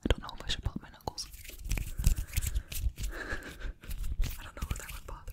I don't know if I should pop my knuckles. I don't know if that would bother.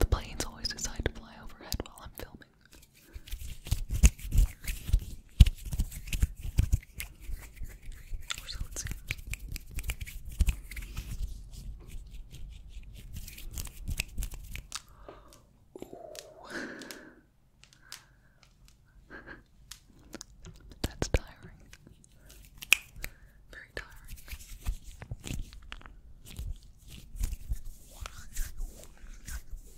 The planes always decide to fly overhead while I'm filming. Or so it seems. That's tiring. Very tiring.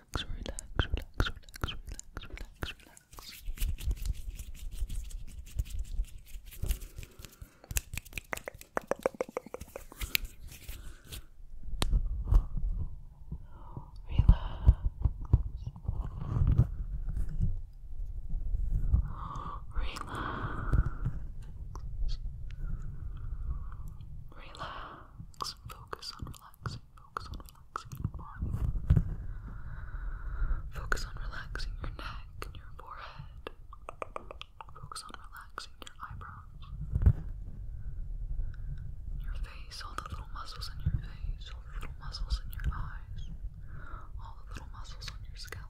relax, relax, relax, relax, relax, relax. Relax. Relax. Relax. Focus on relaxing. Focus on relaxing your body. Focus on relaxing your neck and your forehead. Focus on relaxing your eyebrows. Your face, all the little muscles in your face, all the little muscles in your eyes, all the little muscles on your scalp.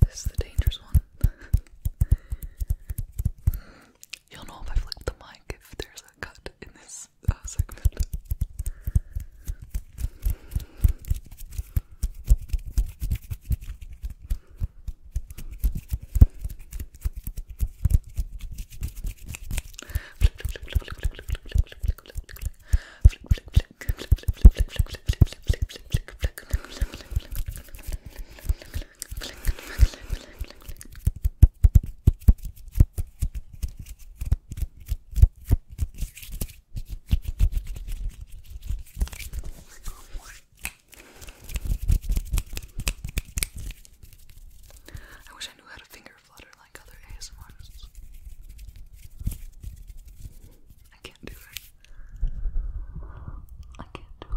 This is the dangerous one. You'll know if I flip the mic if there's a cut in this this uh, segment. I wish I knew how to finger flutter like other ASMRs. I can't do it. I can't do it.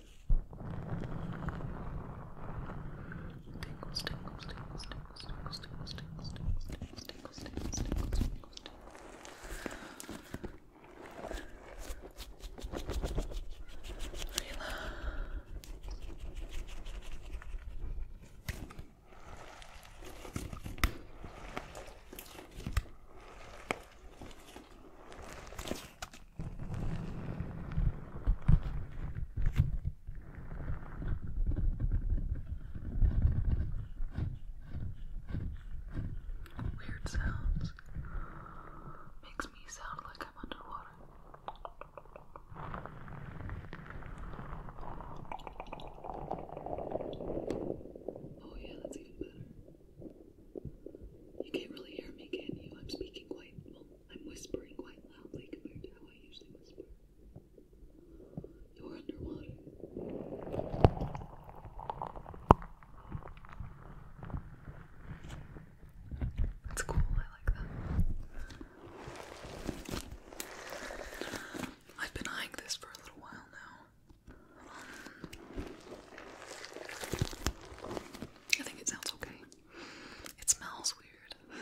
Tingles, tingles, tingles, tingles, tingles, tingles, tingles, tingles, tingles, tingles, tingles, tingles, tingles, tingles. Relax. Relax. Weird sounds. Makes me sound like I'm underwater. Oh, yeah, that's even better. You can't really hear me, can you? I'm speaking quite, I'm whispering quite loudly compared to how I usually whisper. You're underwater. That's cool, I like that. I've been eyeing this for a little while now. I think it sounds okay. It smells weird.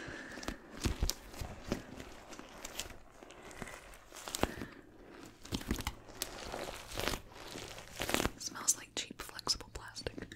smells like cheap flexible plastic. Anyway.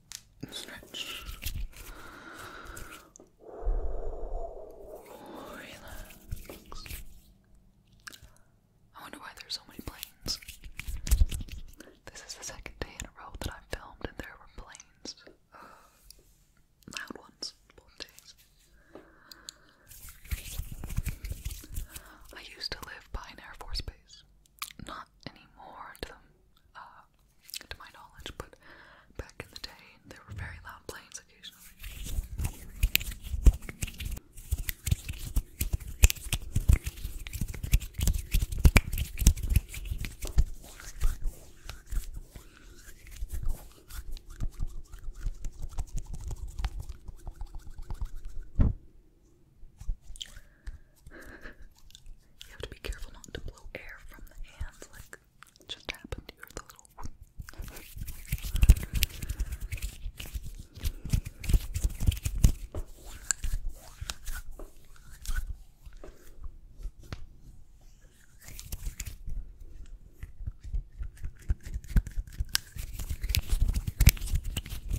stretch. I wonder why there's so many planes. This is the second day in a row that I've filmed and there were planes. loud ones, both days. I used to live by an Air Force base not anymore uh, to my knowledge, but back in the day there were very loud planes occasionally you have to be careful not to blow air from the hands like just happened to you the little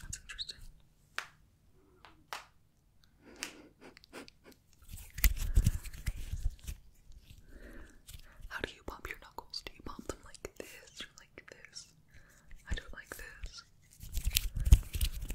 That's interesting. How do you pop your knuckles? Do you pop them like this or like this? I do it like this.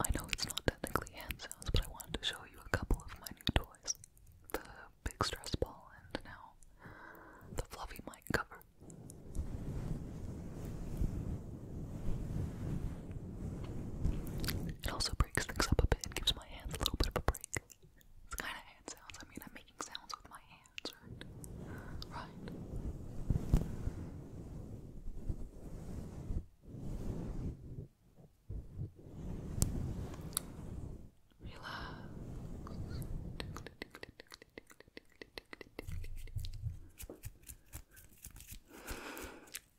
I know it's not technically hand sounds, but I wanted to show you a couple of my new toys. The big stress ball and now the fluffy mic cover. It also breaks things up a bit and gives my hands a little bit of a break. It's kind of hand sounds. I mean, I'm making sounds with my hands, right? Right. Relax.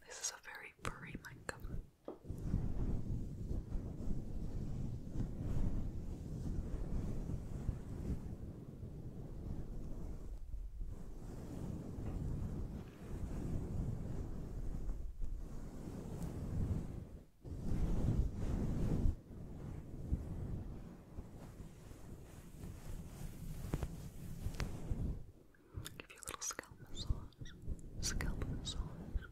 This is a very furry mic Give you a little scalp massage. Scalp massage.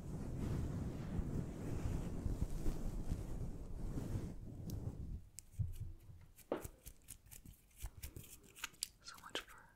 So much for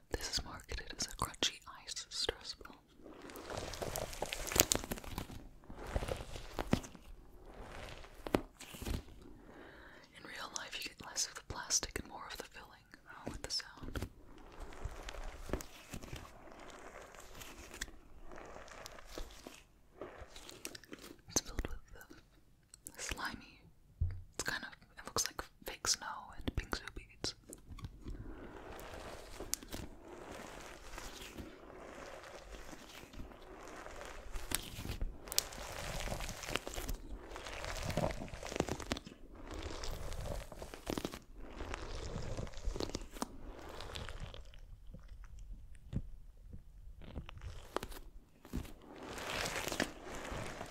This is marketed as a crunchy ice stress ball. In real life, you get less of the plastic and more of the filling, along oh, with the sound. It's filled with the uh, slimy. It's kind of. It looks like fake snow and pink bingsu beads.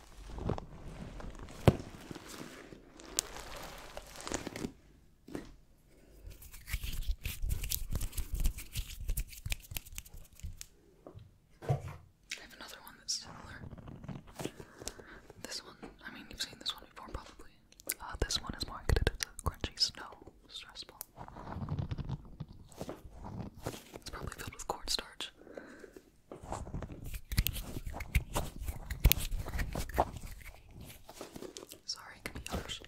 I have another one that's similar. This one, I mean, you've seen this one before probably. Uh, this one is marketed as a crunchy snow stress ball. It's probably filled with cornstarch. Sorry, give be harsh.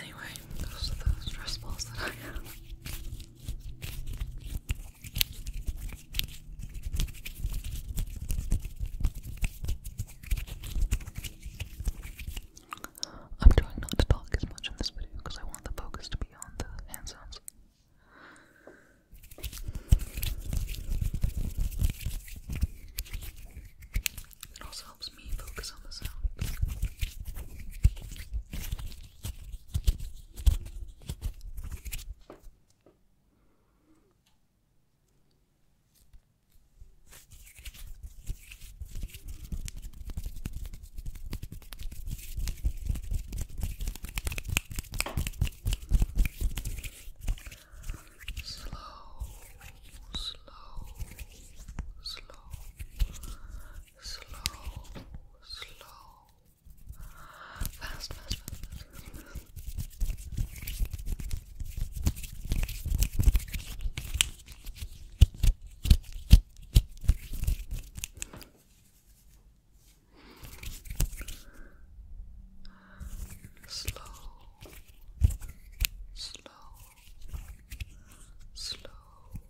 Anyway, those are the stress balls that I have. I'm trying not to talk as much in this video because I want the focus to be on the hand sounds. It also helps me focus on the sound. Slow, slow, slow, slow, slow, fast, fast, fast, Slow, slow, slow,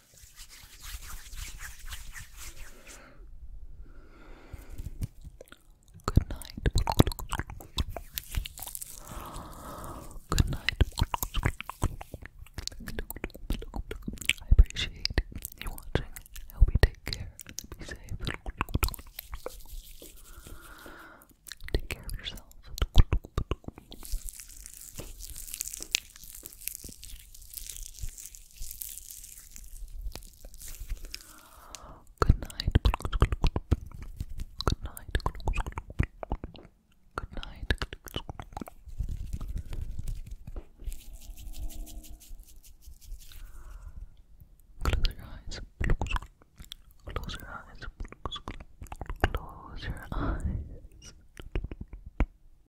Good night. Good night. I appreciate you watching. I hope take care. Be safe. Take care of yourself. Good night. Good night. Good night. Close your eyes. Close your eyes. Close your eyes.